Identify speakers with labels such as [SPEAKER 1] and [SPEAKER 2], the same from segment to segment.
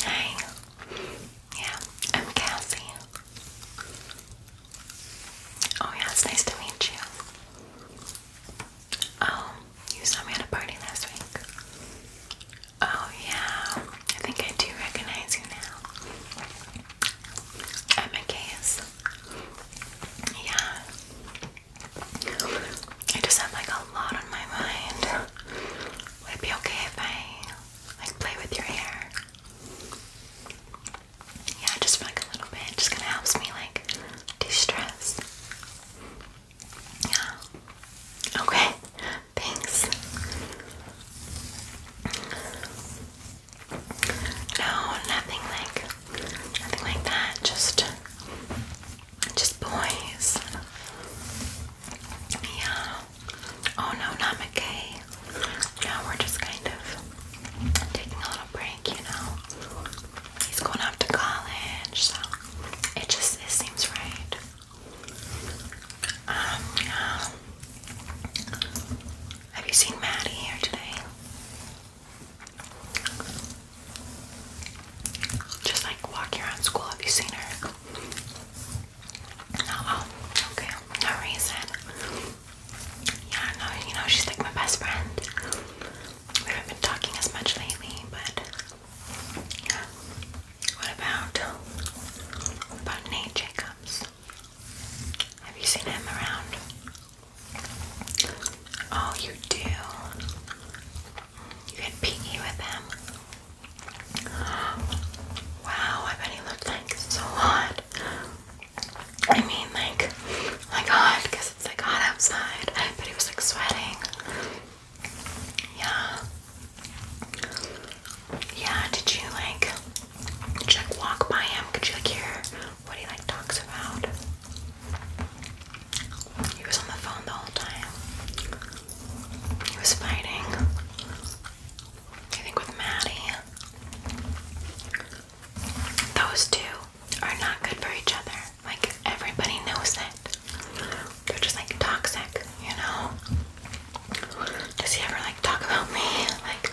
[SPEAKER 1] Hi. Yeah, I'm Cassie. Oh yeah, it's nice to meet you. Oh, you saw me at a party last week. Oh yeah, I think I do recognize you now. I'm a case. Yeah. I just have like a lot on my mind. Would it be okay if I like play with your hair? Yeah, just like a little bit. just kind of helps me like de-stress. Yeah. Okay. Thanks. No, nothing like nothing like that. Just just boys. Yeah. Oh no, not McKay. No, we're just kind of taking a little break, you know. He's going off to college, so it just it seems right. Um, Have you seen Maddie here today? Just like walking around school, have you seen her? Oh, oh, okay. No reason. Yeah, no, you know, she's like my best friend. We haven't been talking as much lately, but yeah. What about what about Nate Jacobs? Have you seen him around? Oh, you do. You had PE with him. Wow, I bet he looked like so hot. I mean, like, like hot because it's like hot outside. But he was like sweating. Yeah. Yeah. Did you like? Did walk by him? Could you like hear what he like talks about? He was on the phone the whole time. He was fighting, I think, with Maddie. Those two are not good for each other. Like, everybody knows it. They're just like toxic, you know? Does he ever like talk about me? Like,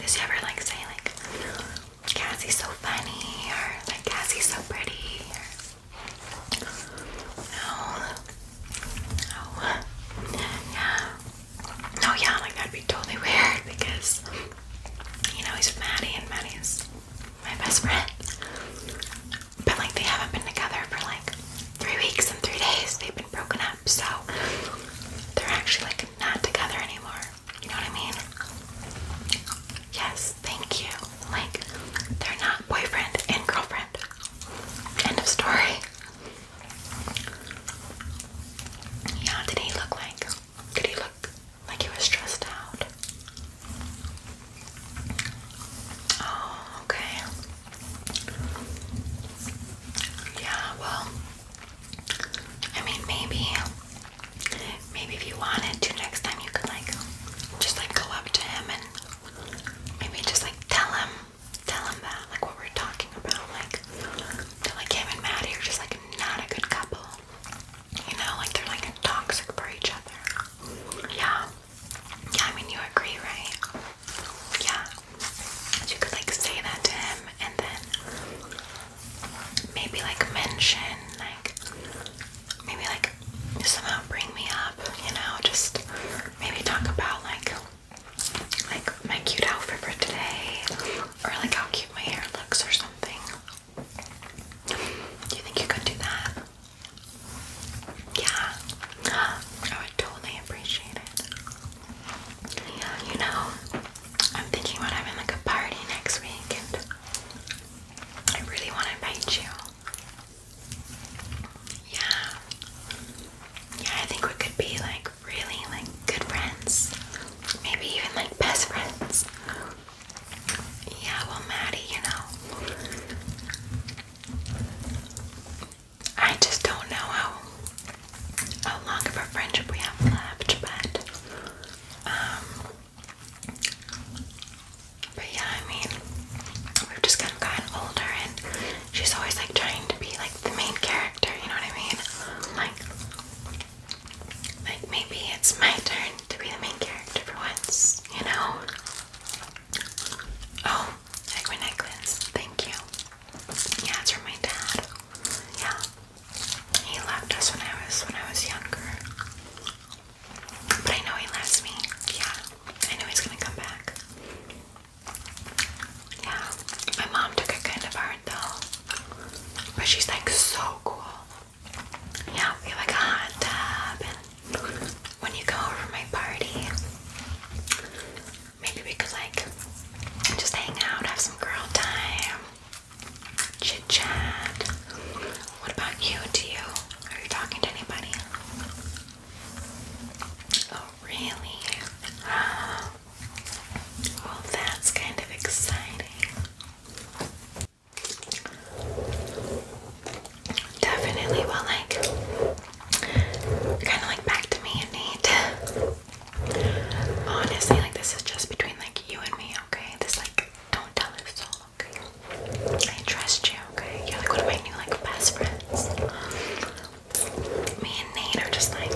[SPEAKER 1] does he ever like say, like, Cassie's so funny or like Cassie's so pretty? No. No. Oh, yeah. No, yeah, like that'd be totally weird because, you know, he's with Maddie and Maddie's my best friend. But like they haven't been together for like three weeks and three days. They've been broken up, so they're actually like not together anymore. You know what I mean? Yes, thank you. Like, they're not boyfriend and girlfriend. End of story. Yeah, did he look like? Did he look like he was stressed out? Oh, okay. Yeah, well, I mean, maybe, maybe if you wanted to, next time you could like, just like go up to him and maybe just like tell him tell him that, like what we're talking about, like that like him and Maddie are just like not a good couple. You know, like they're like toxic for each other. Yeah. Yeah, I mean you agree, right? Yeah. So you could like say that to him and then maybe like mention like maybe like somehow bring me up, you know, just maybe talk about like like my cute outfit for today or like how cute my hair looks or something. Do you think you could do that? Yeah. I would totally appreciate it. you know, I'm thinking about having like a party next week and I really want to invite you. Yeah. Yeah, I think we could be like really like good friends. Maybe even like best friends. Yeah, well Maddie, you know. I just don't know how how long of a friendship we have left, but um, but yeah, I mean, we've just kind of gotten older, and she's always like trying to be like the main character, you know what I mean? Like like maybe it's my turn to be the main character for once, you know? Oh, like my necklace. Thank you. Yeah, it's from my dad. Yeah. He left us when I was when I was younger. But I know he loves me. Yeah. I know he's gonna come back. Yeah, my mom took it kind of hard though, but she's like so cool. Yeah, we like a hot tub, and when you go over my party, maybe we could like just hang out, have some girl time, chit chat. What about you? Do you? Are you talking to anybody? Oh, really? Well, that's kind of exciting. Definitely, well, like, kind of like back to me and Honestly, like, this is just between like you and me, okay? This, like, don't tell her okay? I trust you, okay? You're like one of my new, like, best friends me and Nate are just like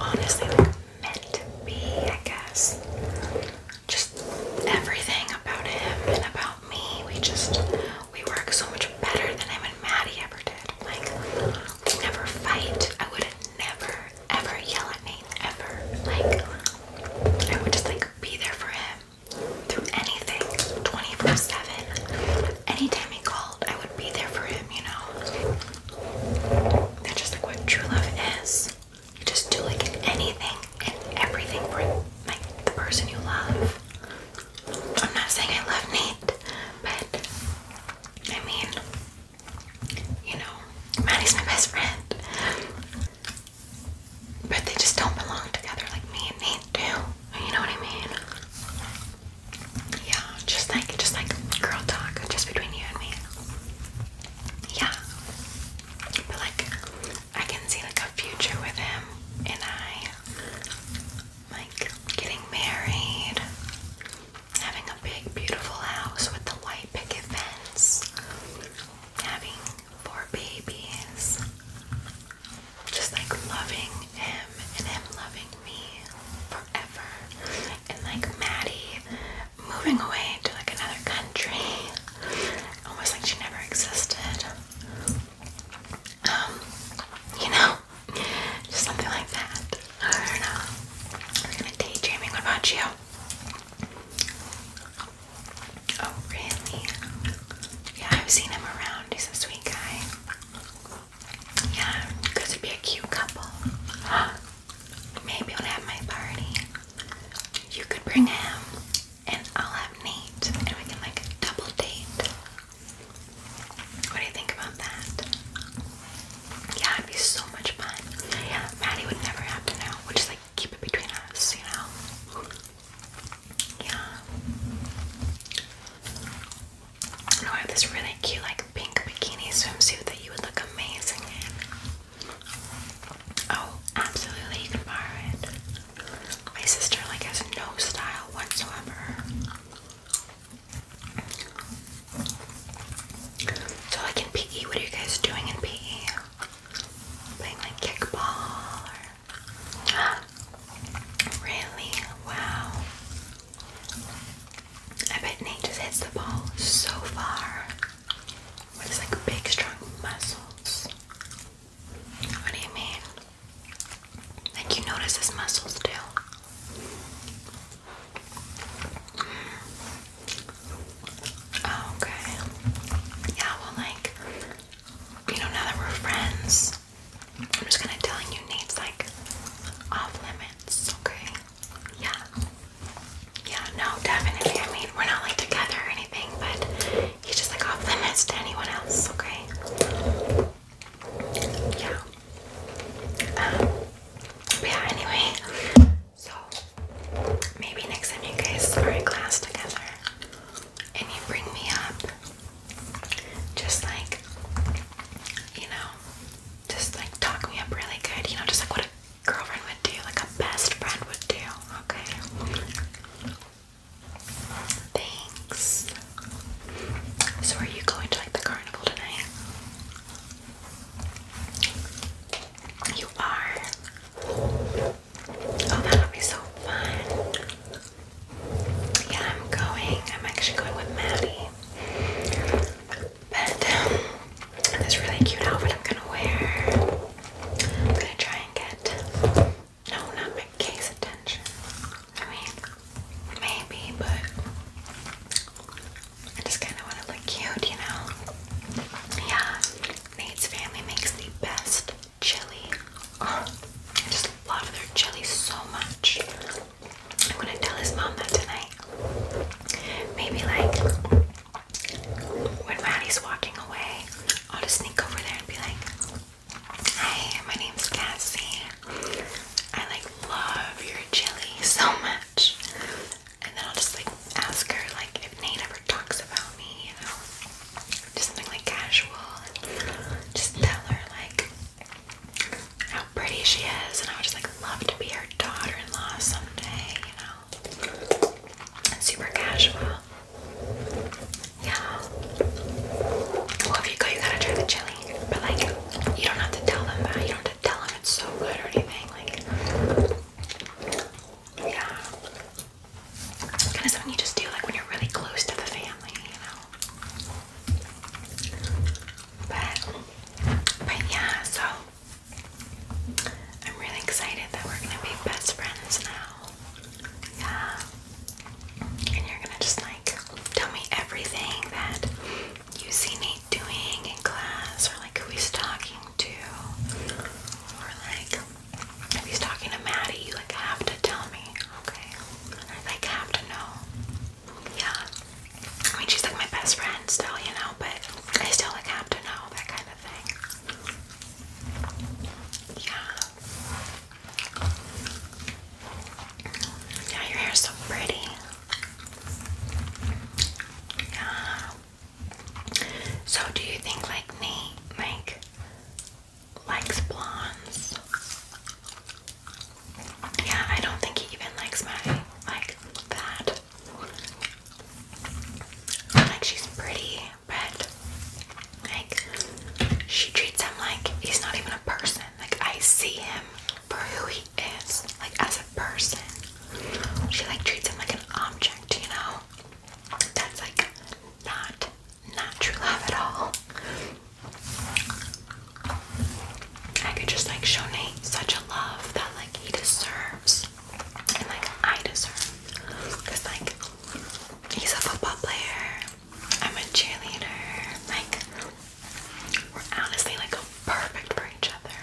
[SPEAKER 1] honestly like meant to be, I guess. Just everything about him and about me, we just we work so much better than I and Maddie ever did. Like we never fight. I would never ever yell at Nate ever. Like I would just like be there for him through anything 24-7 anytime he called, I would be there for him, you know? That's just like what true love is. You just do like anything and everything for like the person you love. I'm not saying I love Nate, but I mean, you know, Maddie's my best friend. But they just don't belong together like me and Nate do. You know what I mean? Yeah, just like just like girl talk, just between you and me. Yeah. But like I can see like a future with him and I like getting married, having a big beautiful house with the white picket fence, having four babies just like loving him and him loving me forever. And like Maddie moving away to like another country, almost like she never existed. Um, you know, just something like that. I don't know. We're gonna daydreaming. about you? Oh, really? Yeah, I've seen him around. He's a sweet guy. Yeah, cause would be a cute couple. Maybe when I have my party, you could bring him and I'll have Nate and we can like double date. What do you think about that? Yeah, it'd be so much fun. Yeah, Maddie would never have to know. We'll just like keep it between us, you know? Yeah. I have this really cute, like, pink bikini swimsuit that you would look amazing in. Oh, absolutely, you can borrow it. My sister, like, has no style whatsoever. So, like, in PE, what are you guys doing in PE? Playing, like, kickball or... Really? Wow. I bet Nate just hits the ball so far with like big strong muscles. What do you mean? Like you notice his muscles too. Oh, okay. Yeah, well like you know now that we're friends, I'm just kind of telling you Nate's like off limits, okay? Yeah. Yeah, no, definitely. I mean, we're not like together or anything, but he's just like off limits to anyone else, okay? Yeah. Um, yeah, anyway. So, maybe next time you guys are in class together and you bring me up just like you know, just like talk me up really good, you know, just like what a girlfriend would do, like a best friend would do, okay? Thanks. So are you going to like the carnival tonight? You are. Oh, that'll be so fun. Yeah, I'm going. I'm actually going with Maddie. But um, this really cute outfit I'm gonna wear. I'm gonna try and get no, not my case attention. I mean, maybe, but I just kind of want to look cute, you know? Yeah, Nate's family makes the best jelly. Oh, I just love their jelly so much. I'm gonna tell his mom that tonight. Maybe like when Maddie's walking away, I'll just sneak over there and be like, "Hey, my name's Cassie. I like love your jelly so much." And then I'll just like ask her like if Nate ever talks about me, you know, just something like casual. Just tell her like how pretty she is, and I would just like love to be her daughter-in-law someday, you know. Super casual. Yeah. Well, if you go, you gotta try the chili. But like, you don't have to tell them that. You don't have to tell them it's so good or anything. Like, yeah. Kind of something you just do like when you're really close to the family, you know. But, but yeah, so I'm really excited that we're gonna be best friends now. Yeah. And you're gonna just like tell me everything that you see me doing in class, or like who he's talking to, or like if he's talking to Maddie, you like have to tell me, okay? I like have to know. Yeah. I mean, she's like my best friend still, you know, but I still like have to know that kind of thing. Yeah. Yeah, your hair's so pretty. Yeah. So, do you think like Nate like likes blondes? Yeah, I don't think he even likes my like that. Like she's pretty, but like she treats him like he's not even a person. Like I see him for who he is, like as a person. She like treats him like an object, you know? That's like not not true love at all. I could just like show Nate such a love that like he deserves and like I deserve like he's a football player, I'm a cheerleader, like we're honestly like perfect for each other.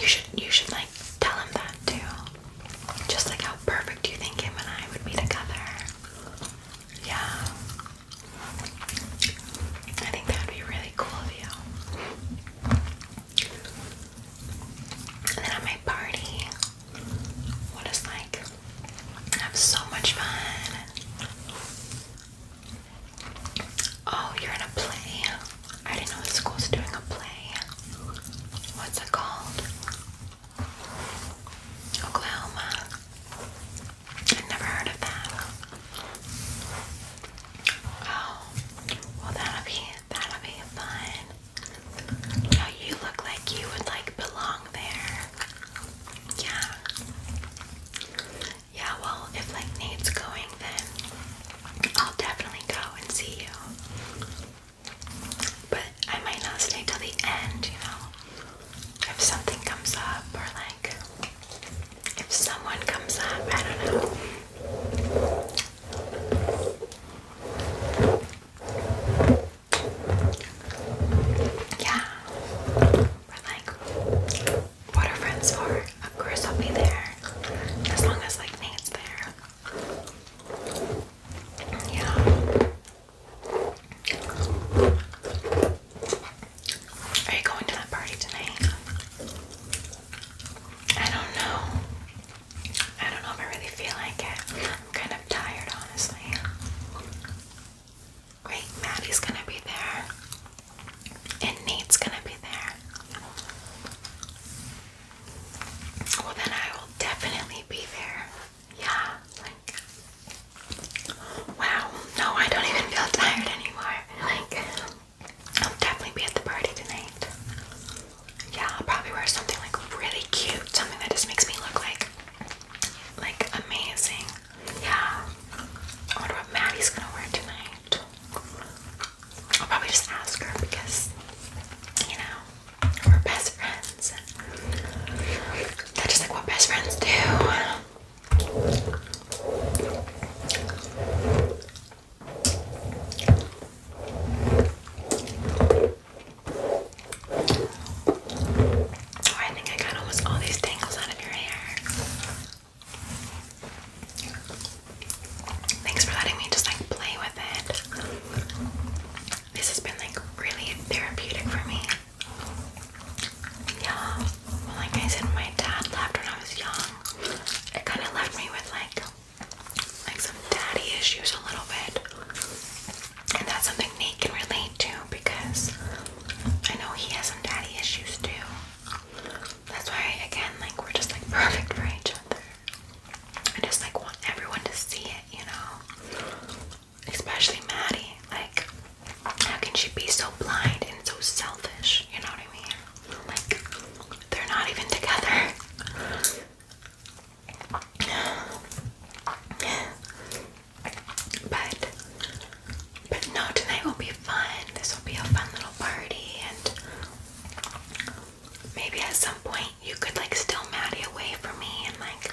[SPEAKER 1] You should you should like tell him that too. Just like how perfect do you think him and I would be together. Yeah. I think that would be really cool of you. And then at my party, we like have so much fun. Oh, you're in a play. I didn't know the school's doing a play. What's it called? Oklahoma. I've never heard of that. Oh, well that'll be that'll be fun. Now you look like you would like belong there. Yeah. Yeah, well if like Nate's going then I'll definitely go and see you. But I might not stay till the end, you know if something comes up or like if someone comes up, I don't know. Yeah. We're like, what are friends for? Of course I'll be there. As long as like Nate's there. Yeah. Are you going to that party tonight? I don't know. I don't know if I really feel like it. I'm kind of tired, honestly. Wait, Maddie's gonna be there. And Nate's gonna be there. Well, then I will definitely be there. Yeah, like, wow. No, I don't even feel tired anymore. Like, I'll definitely be at the party tonight. Yeah, I'll probably wear something like really cute, something that just makes me look like, like amazing. Yeah. I wonder what Maddie's gonna wear tonight. I'll probably just ask her because, you know, we're best friends. That's just like what best friends do. Oh, I think I got almost all these tangles out of your hair. Thanks for letting me just like play with it. This has been like really therapeutic for me. Yeah, well, like I said, my dad left when I was young. It kind of left me with like, like some daddy issues a little bit, and that's something Nate can relate to because I know he has some daddy issues too. That's why, again, like we're just like perfect for each other. I just like want everyone to see it, you know especially Maddie. Like, how can she be so blind and so selfish? You know what I mean? Like, they're not even together. But, but no, tonight will be fun. This will be a fun little party, and maybe at some point you could like steal Maddie away from me and like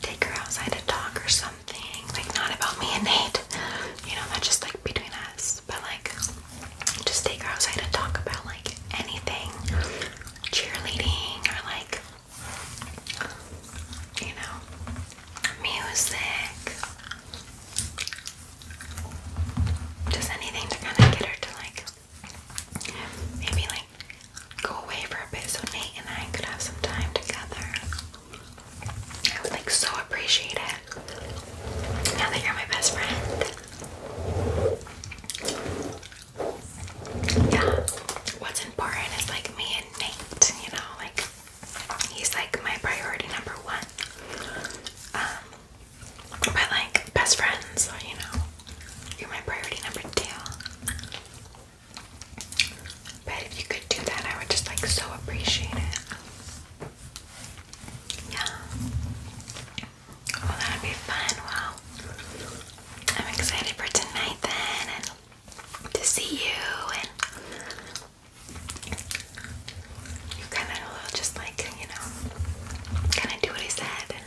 [SPEAKER 1] take her outside to talk or something. Like not about me and Nate. You know, not just like between us, but like just take her outside to talk about like anything. Cheerleading or like you know music. Just anything to kinda get her to like maybe like go away for a bit so Nate and I could have some time together. I would like so appreciate it. Now that you're my best friend. Yeah. What's important is like me and Nate, you know, like he's like my priority number one. Um, but like best friends, you know, you're my priority number two. But if you could do that, I would just like so appreciate it. Yeah. Well, that'd be fun. Wow. I'm excited for tonight then, and to see you, and you kind of just like you know, kind of do what I said, and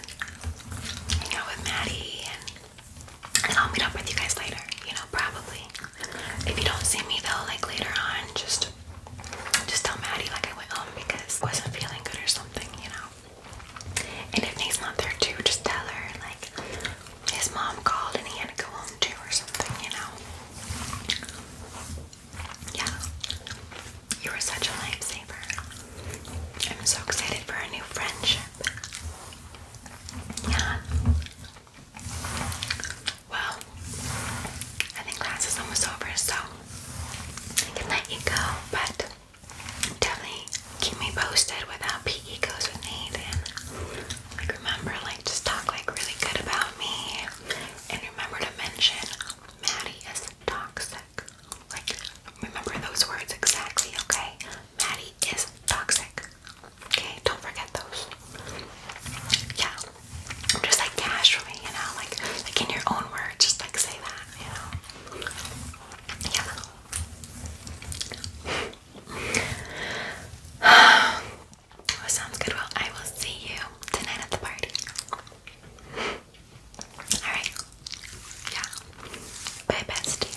[SPEAKER 1] hang out with Maddie, and and I'll meet up with you guys later, you know, probably. If you don't see me though, like later on, just just tell Maddie like I went home because I wasn't feeling good or something, you know. And if Nate's not there too, just tell her like his mom called and he had to go home too or something, you know. Yeah. You were such a lifesaver. I'm so excited for our new friendship. Yeah. Well, I think class is almost over, so I can let you go, but definitely keep me posted with how PE goes with Nathan. Like remember, like just talk like really good about me, and remember to mention Maddie is toxic. Like remember those words exactly, okay? Maddie is toxic. Okay, don't forget those. Yeah, just like casually, you know, like like in your own words, just like say that, you know. Yeah. sounds good. Well, I will see you tonight at the party. All right. Yeah. Bye, bestie.